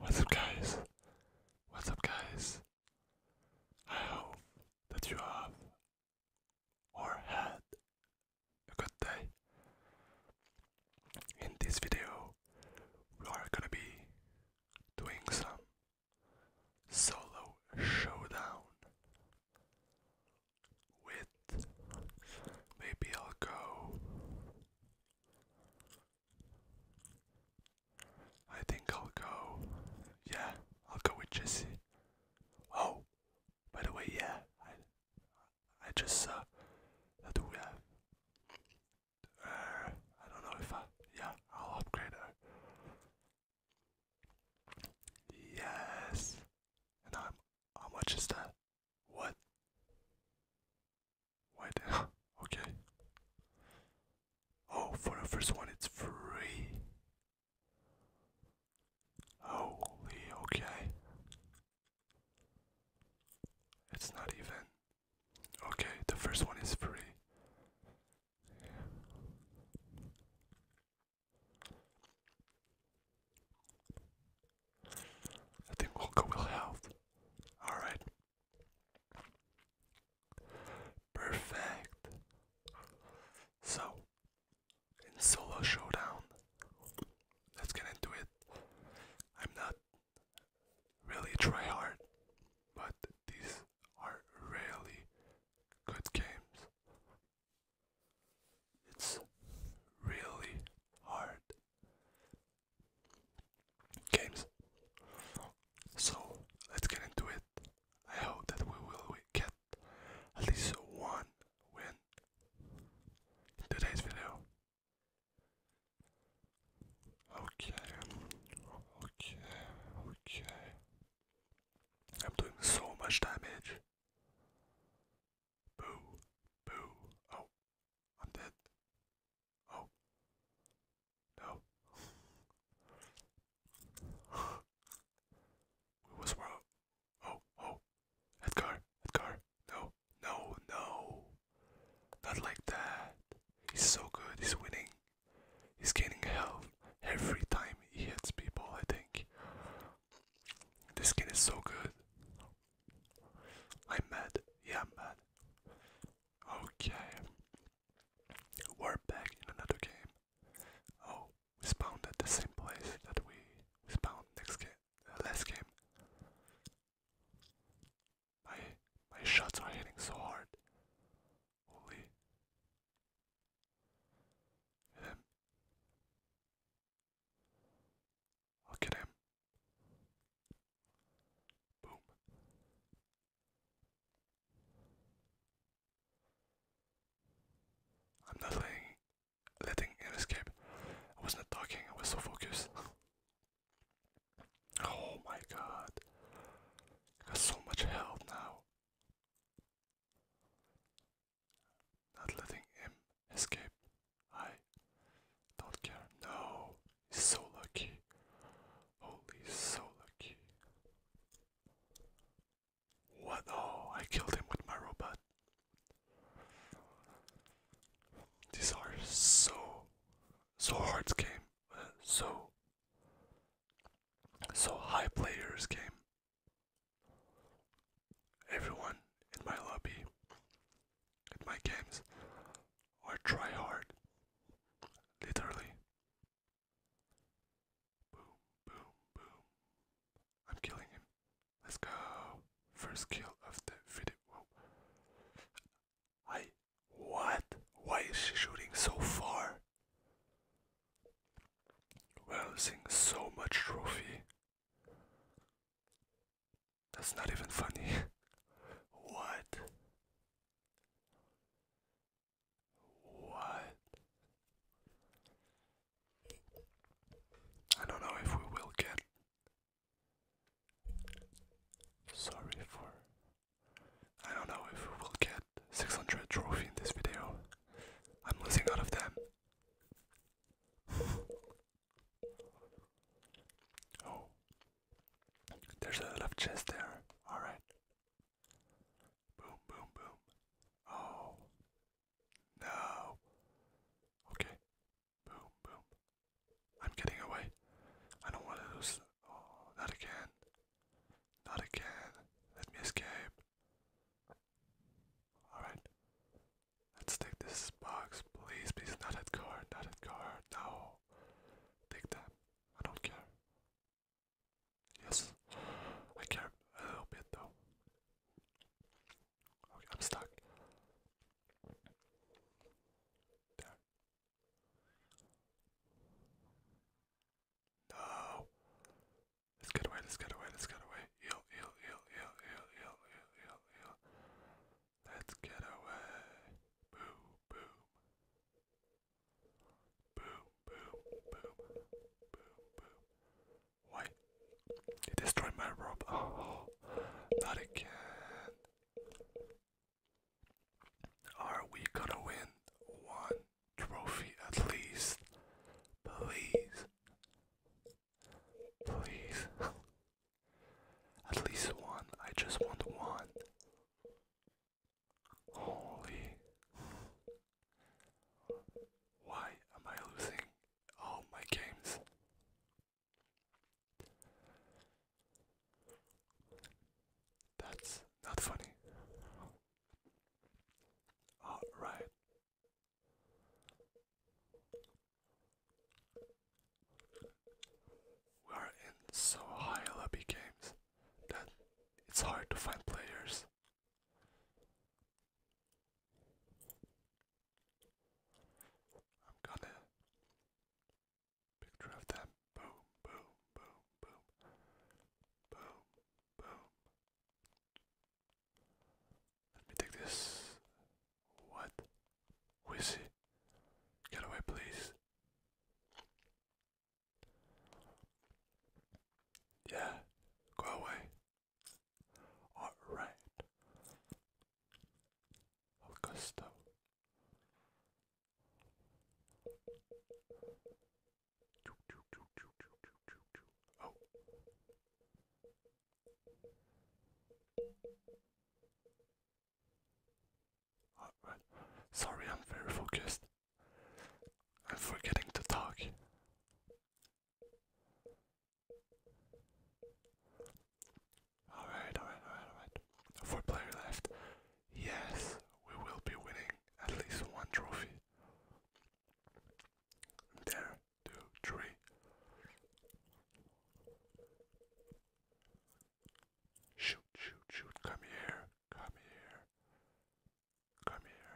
What's up guys? What's up guys? I hope that you have or had a good day. In this video we are gonna be doing some solo showdown with maybe I'll go I think I'll go. Yeah, I'll go with Jesse. Oh, by the way, yeah, I, I just uh, do we have? Uh, I don't know if I. Yeah, I'll upgrade her. Yes. And I'm. How much is that? What? Why the okay. Oh, for the first one it's free. Holy okay. It's not even. Okay, the first one is free. I think we'll go with health. Alright. Perfect. So, in solo showdown, let's get into it. I'm not really try hard, but these are really good games. It's really hard games. So let's get into it. I hope that we will get at least one win in today's video. Okay, okay, okay. I'm doing so much damage. Boo, boo. Oh, I'm dead. Oh. No. we wrong. Oh, oh. Edgar, Edgar. No, no, no. Not like that. He's so good. He's winning. He's gaining health every time he hits people, I think. This skin is so good. I'm mad. Yeah, I'm mad. Okay. We're back in another game. Oh, we spawned at the same place that we spawned next game, uh, last game. My my shots are hitting so hard. Holy. Um, Look at him. Boom. I'm not letting, letting it escape. I was not talking, I was so focused. oh my god. I got so much health now. Not letting him Escape. I don't care. No. He's so lucky. Holy so lucky. What? Oh, I killed him with my robot. These are so, so hard game, uh, so, so high players game. Everyone in my lobby my games or try hard. Literally. Boom, boom, boom. I'm killing him. Let's go. First kill of the video. Whoa. What? Why is she shooting so far? We're losing so much trophy. That's not even funny. what? What? I don't know if we will get. Sorry for. I don't know if we will get 600 trophy in this video. I'm losing out of them. Oh, there's a left chest there. All right. Boom, boom, boom. Oh, no. Okay. Boom, boom. I'm getting away. I don't want to lose. Oh, not again. Not again. Let me escape. Alright. Let's take this box, please, please, not that car, not that car, no. Take that, I don't care. Yes, I care a little bit though. Okay, I'm stuck. No. Let's get away, let's get away, let's get away. Heal, heal, heal, heal, heal, heal, heal, heal, heal. Let's get away. Boom, boom. Boom, boom, boom. Boom, boom. Why? He destroyed my rope. not again. Are we gonna win one trophy at least? Please. Please. At least one. I just want one. Holy. Why am I losing all my games? That's not funny. Alright. We are in so high lobby games that it's hard to find players. I'm gonna picture of them. Boom, boom, boom, boom, boom, boom. Let me take this. What? Who is he? Get away, please. Yeah, go away. Alright. Oh, Gusto. Oh. Alright, sorry, I'm very focused. I'm forgetting to talk. Alright, alright, alright, alright. Four player left. Yes, we will be winning at least one trophy. There two, three. Shoot, shoot, shoot. Come here. Come here. Come here.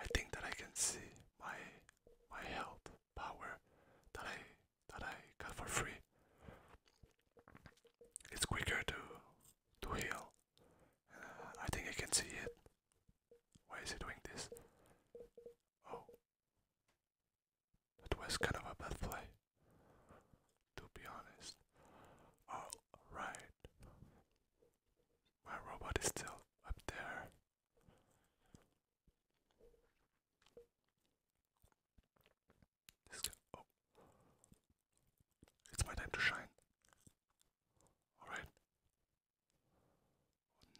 I think that I can see my my health power that I that I got for free. It's quicker to to heal. Uh, I think I can see it. Why is he doing this? Oh, that was kind of a bad play, to be honest. Alright. My robot is still up there. Oh. It's my time to shine. Alright.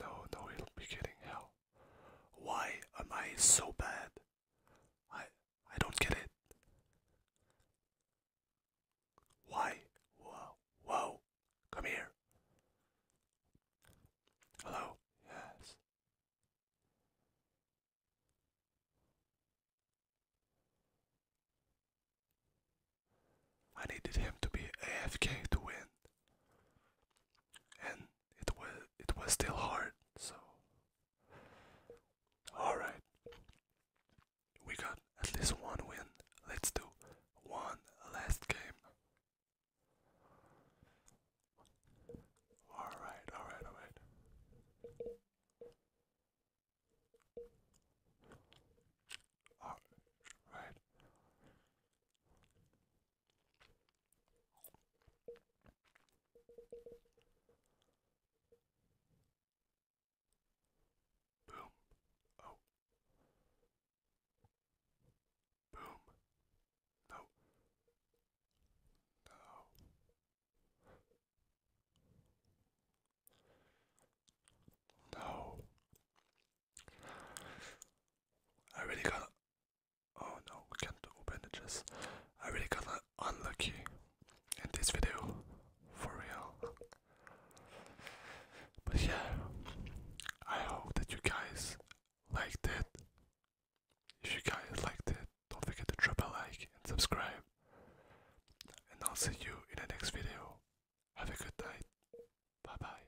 No, no, it'll be getting hell. Why am I so bad? I I don't get it. Why? Whoa, whoa, come here. Hello? Yes. I needed him to be AFK to win. And it was it was still hard. So, all right, we got at least one win. Let's do one last game. All right, all right, all right. All right. Boom. Oh. Boom. No. No. No. I really gotta Oh no, can't open it just. I really got unlucky in this video, for real. But yeah, I hope that you guys liked it. If you guys liked it, don't forget to drop a like and subscribe. And I'll see you in the next video. Have a good night. Bye bye.